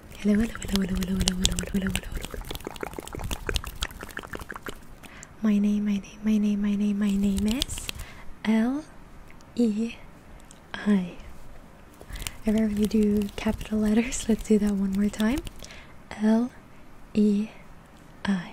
Hello, hello, hello, hello, hello, hello, hello, hello, hello. My name, my name, my name, my name, my name is L E I. I rarely do capital letters. Let's do that one more time. L E I.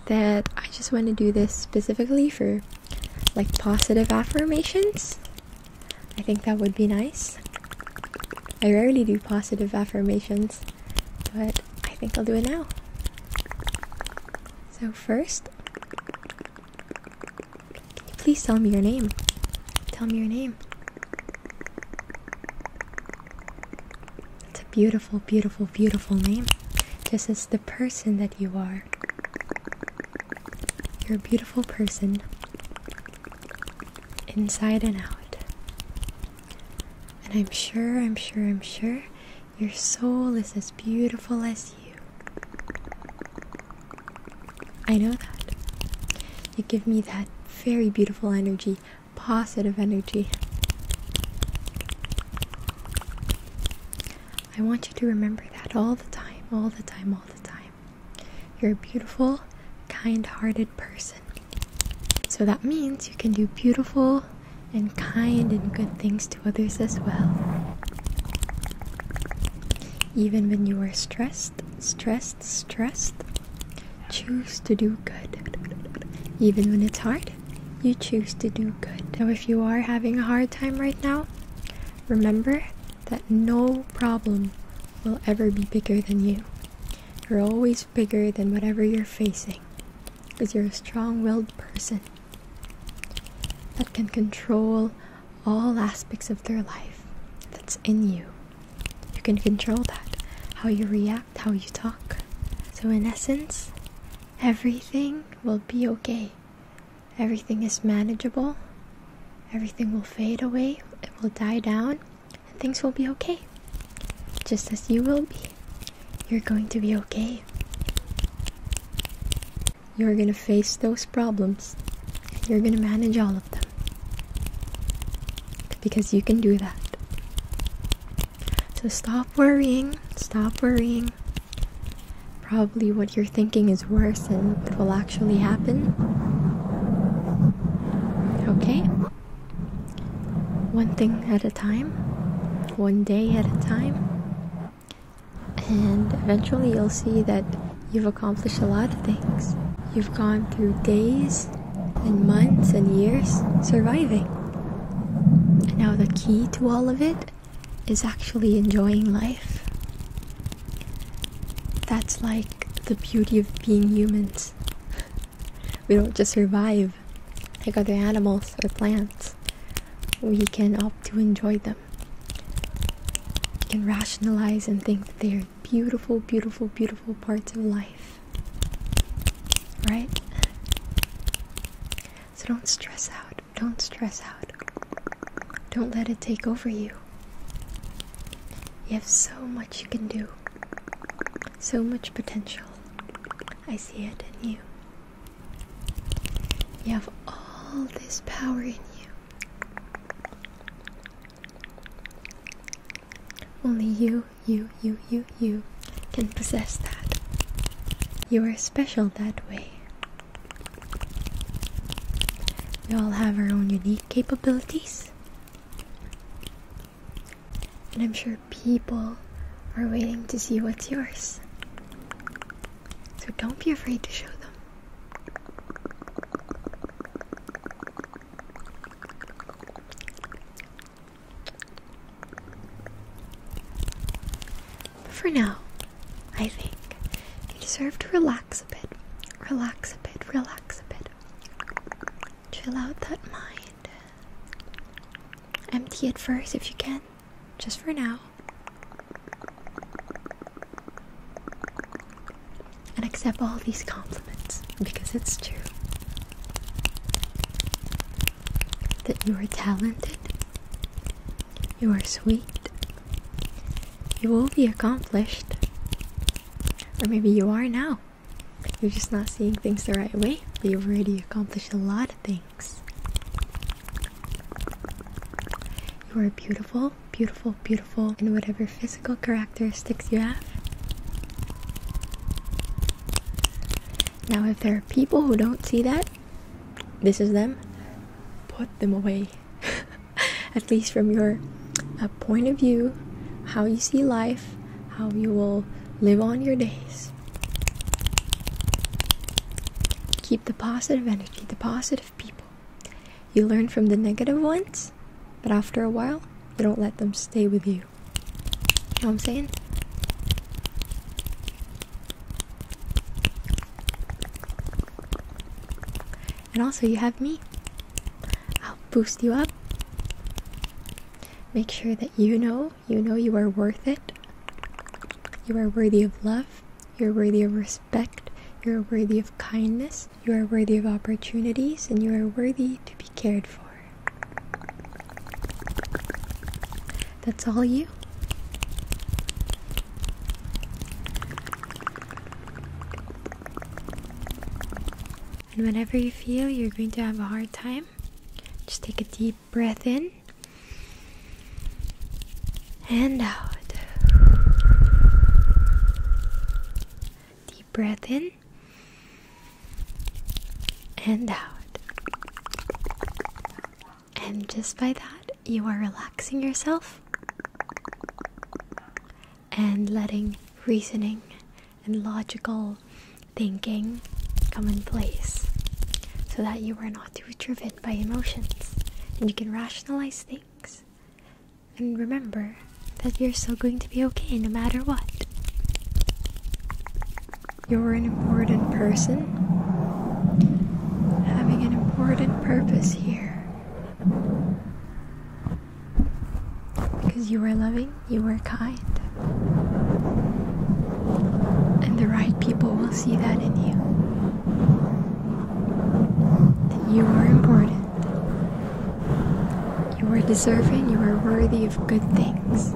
that I just want to do this specifically for like positive affirmations. I think that would be nice. I rarely do positive affirmations, but I think I'll do it now. So, first, please tell me your name? Tell me your name. It's a beautiful, beautiful, beautiful name. Just as the person that you are. You're a beautiful person, inside and out. And I'm sure, I'm sure, I'm sure your soul is as beautiful as you. I know that. You give me that very beautiful energy positive energy. I want you to remember that all the time, all the time, all the time. You're a beautiful, kind hearted person. So that means you can do beautiful and kind and good things to others as well. Even when you are stressed, stressed, stressed. Choose to do good. Even when it's hard, you choose to do good. Now, if you are having a hard time right now, remember that no problem will ever be bigger than you. You're always bigger than whatever you're facing because you're a strong willed person that can control all aspects of their life that's in you. You can control that, how you react, how you talk. So, in essence, everything will be okay. Everything is manageable. Everything will fade away, it will die down, and things will be okay. Just as you will be. You're going to be okay. You're going to face those problems, you're going to manage all of them. Because you can do that. So stop worrying. Stop worrying. Probably what you're thinking is worse than will actually happen. Okay? One thing at a time, one day at a time, and eventually you'll see that You've accomplished a lot of things. You've gone through days and months and years surviving. And now, the key to all of it is actually enjoying life. That's like the beauty of being humans. We don't just survive like other animals or plants, we can opt to enjoy them you can rationalize and think that they are beautiful, beautiful, beautiful parts of life. Right? So don't stress out. Don't stress out. Don't let it take over you. You have so much you can do, so much potential. I see it in you. You have all this power in you. Only you, you, you, you, you can possess that. You are special that way. We all have our own unique capabilities. And I'm sure people are waiting to see what's yours. So don't be afraid to show them. for now, I think you deserve to relax a bit. Relax a bit, relax a bit. Chill out that mind. Empty it first if you can just for now. And accept all these compliments because it's true that you are talented, you are sweet, you will be accomplished, or maybe you are now. You're just not seeing things the right way, but you've already accomplished a lot of things. You are beautiful, beautiful, beautiful in whatever physical characteristics you have. Now, if there are people who don't see that, this is them, put them away. At least from your uh, point of view, how you see life, how you will live on your days. Keep the positive energy, the positive people. You learn from the negative ones, but after a while, you don't let them stay with you. You know what I'm saying? And also, you have me. I'll boost you up. Make sure that you know you know you are worth it. You are worthy of love. You're worthy of respect. You're worthy of kindness. You are worthy of opportunities and you are worthy to be cared for. That's all you. And whenever you feel you're going to have a hard time, just take a deep breath in and out. Deep breath in and out. And just by that, you are relaxing yourself and letting reasoning and logical thinking come in place so that you are not too driven by emotions and you can rationalize things. And remember that you're still going to be okay no matter what. You're an important person having an important purpose here. Because you are loving, you are kind. And the right people will see that in you. That you are important. You are deserving, you are worthy of good things.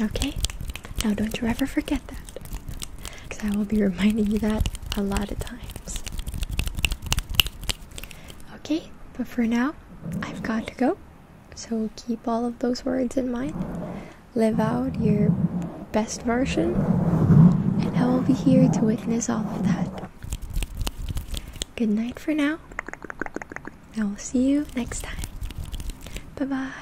Okay? Now don't you ever forget that. Because I will be reminding you that a lot of times. Okay, but for now, I've got to go. So keep all of those words in mind. Live out your best version, and I will be here to witness all of that. Good night for now. I will see you next time. Bye bye.